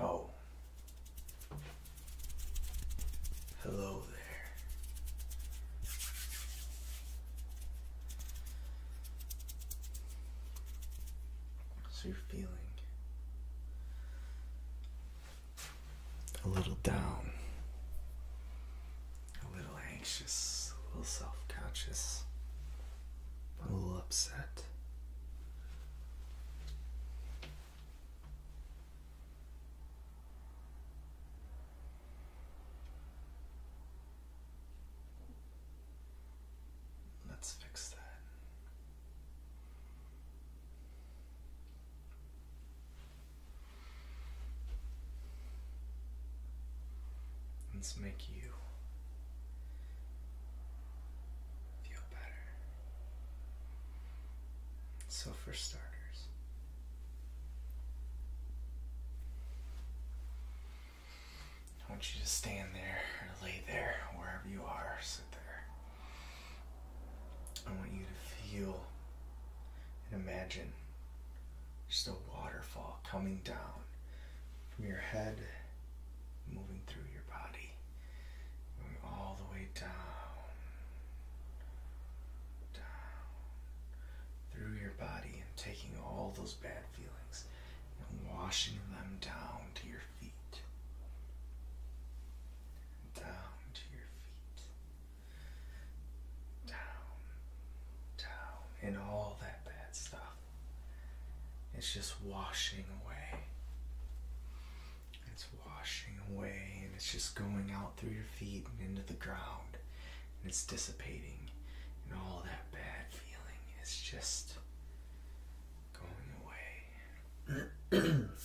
Oh. Hello there. So you're feeling a little down, a little anxious, a little self conscious, a little upset. Let's fix that. Let's make you feel better. So, for starters, I want you to stand there or lay there, wherever you are, sit there. I want you to feel and imagine just a waterfall coming down from your head, moving through your body, going all the way down, down, through your body, and taking all those bad feelings and washing them down to your feet. Down to your feet. Down, down, and all that that stuff. It's just washing away. It's washing away and it's just going out through your feet and into the ground and it's dissipating and all that bad feeling is just going away.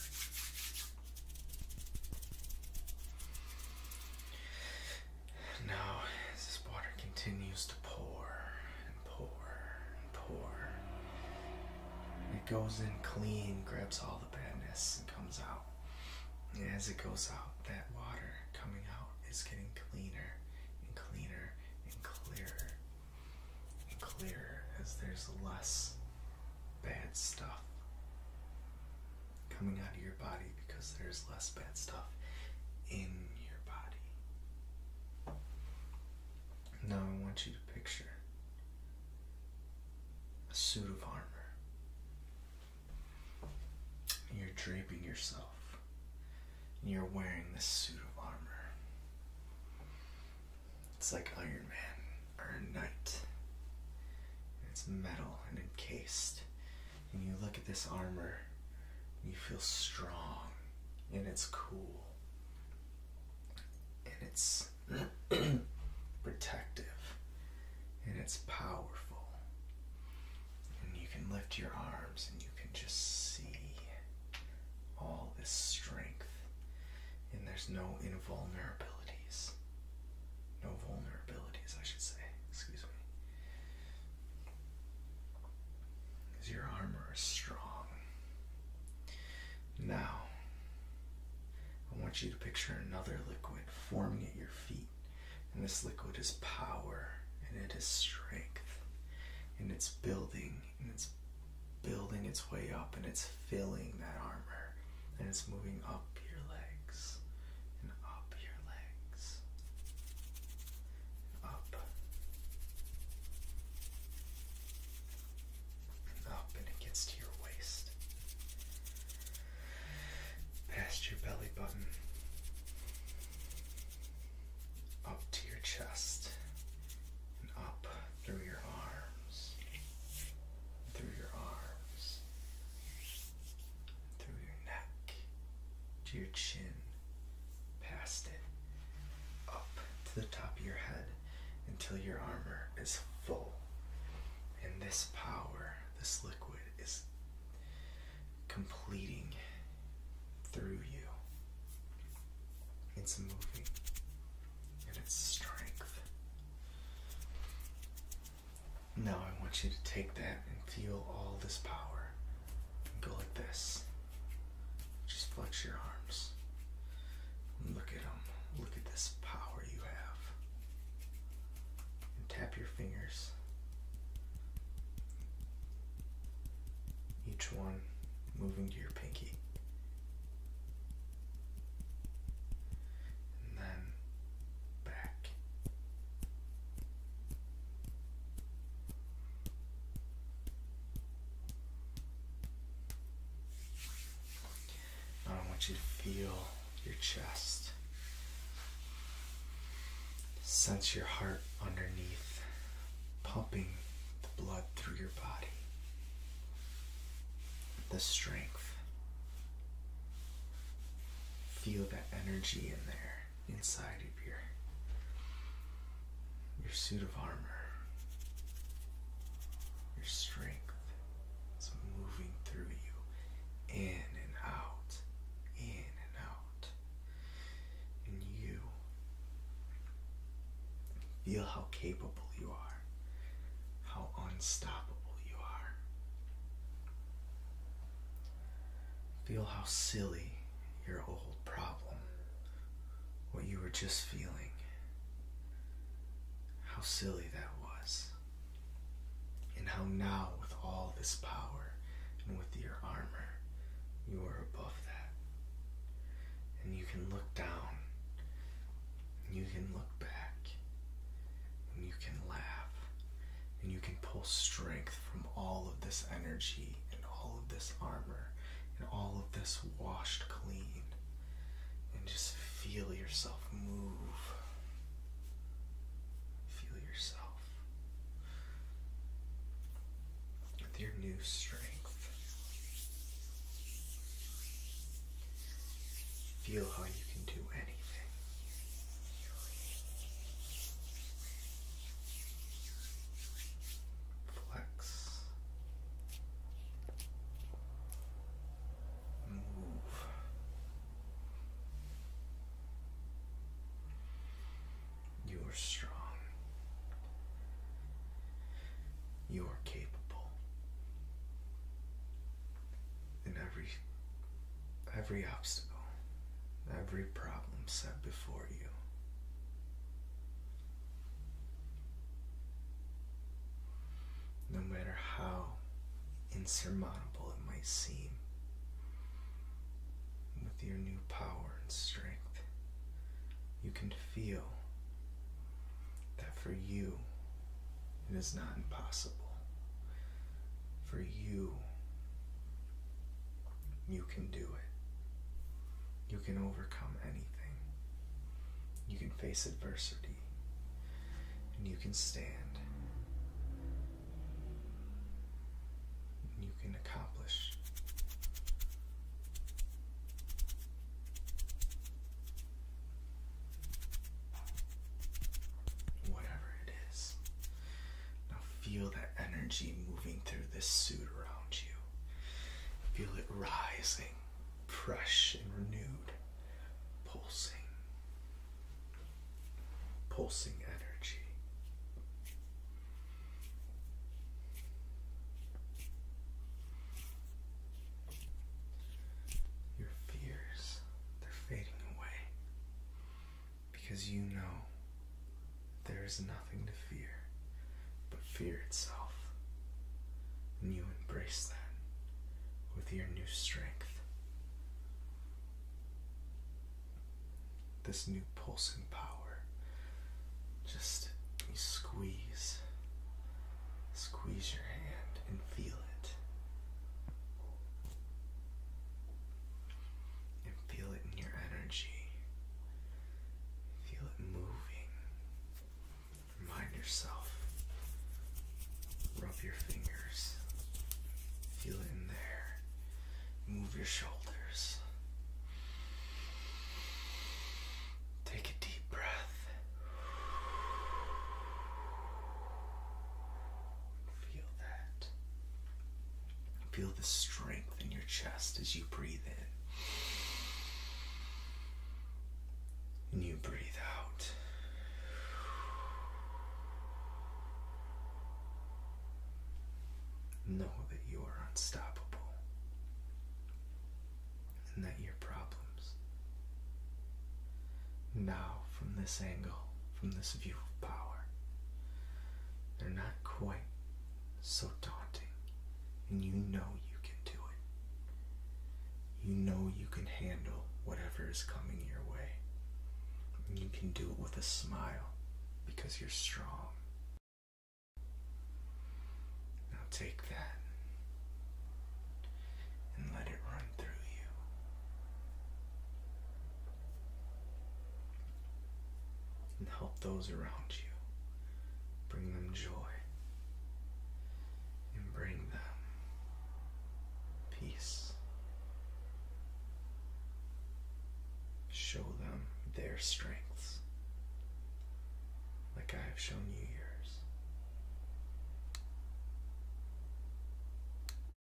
Now, as this water continues to pour and pour and pour, it goes in clean, grabs all the badness, and comes out. And as it goes out, that water coming out is getting cleaner and cleaner and clearer and clearer as there's less bad stuff coming out of your body because there's less bad stuff in your body. Now I want you to picture a suit of armor. You're draping yourself. And you're wearing this suit of armor. It's like Iron Man or a knight. It's metal and encased and you look at this armor, and you feel strong, and it's cool, and it's protective, and it's powerful, and you can lift your arms, and you can just see all this strength, and there's no invulnerabilities. No vulnerabilities, I should say. Excuse me. Because your armor is strong. Now, I want you to picture another liquid forming at your feet. And this liquid is power, and it is strength, and it's building, and it's building its way up, and it's filling that armor, and it's moving up your leg and up your legs and up and up and it gets to your waist past your belly button up to your chest and up through your arms through your arms through your neck to your chin, past it, up to the top of your head until your armor is full. And this power, this liquid, is completing through you. It's moving and its strength. Now I want you to take that and feel all this power. And go like this. Just flex your arms. Look at them. Look at this power you have. And tap your fingers. Each one moving to your pinky. And then I want you to feel your chest. Sense your heart underneath, pumping the blood through your body. The strength. Feel that energy in there inside of your your suit of armor, your strength is moving through you, in and out, in and out, and you feel how capable you are, how unstoppable you are. Feel how silly your old problem, what you were just feeling, how silly that was. And how now, with all this power and with your armor, you are above that. And you can look down, and you can look back, and you can laugh, and you can pull strength from all of this energy and all of this armor and all of this washed clean. And just feel yourself move. Feel yourself with your new strength. Feel how you can do anything. Flex. Move. You are strong. You are capable in every every obstacle, every problem set before you. No matter how insurmountable it might seem, with your new power and strength, you can feel that for you it is not impossible. For you, you can do it. You can overcome anything. You can face adversity. And you can stand. you can accomplish. Whatever it is now feel that energy moving through this suit around you. Feel it rising, fresh and renewed, pulsing, pulsing energy. Your fears, they're fading away because you know there is nothing to fear but fear itself, and you embrace that with your new strength. This new pulsing power, just squeeze, squeeze your hand and feel it and feel it in your energy. Feel it moving. Remind yourself. Rub your fingers. Feel it in there. Move your shoulders. Take a deep breath. Feel that. Feel the strength in your chest as you breathe in. And you breathe out. Know that you are unstoppable and that your problems now from this angle from this view of power. They're not quite so daunting, and you know you can do it. You know you can handle whatever is coming your way. you can do it with a smile because you're strong. Now take that and let it run through you and help those around you. Bring them joy and bring them peace. Show them their strengths like I have shown you yours.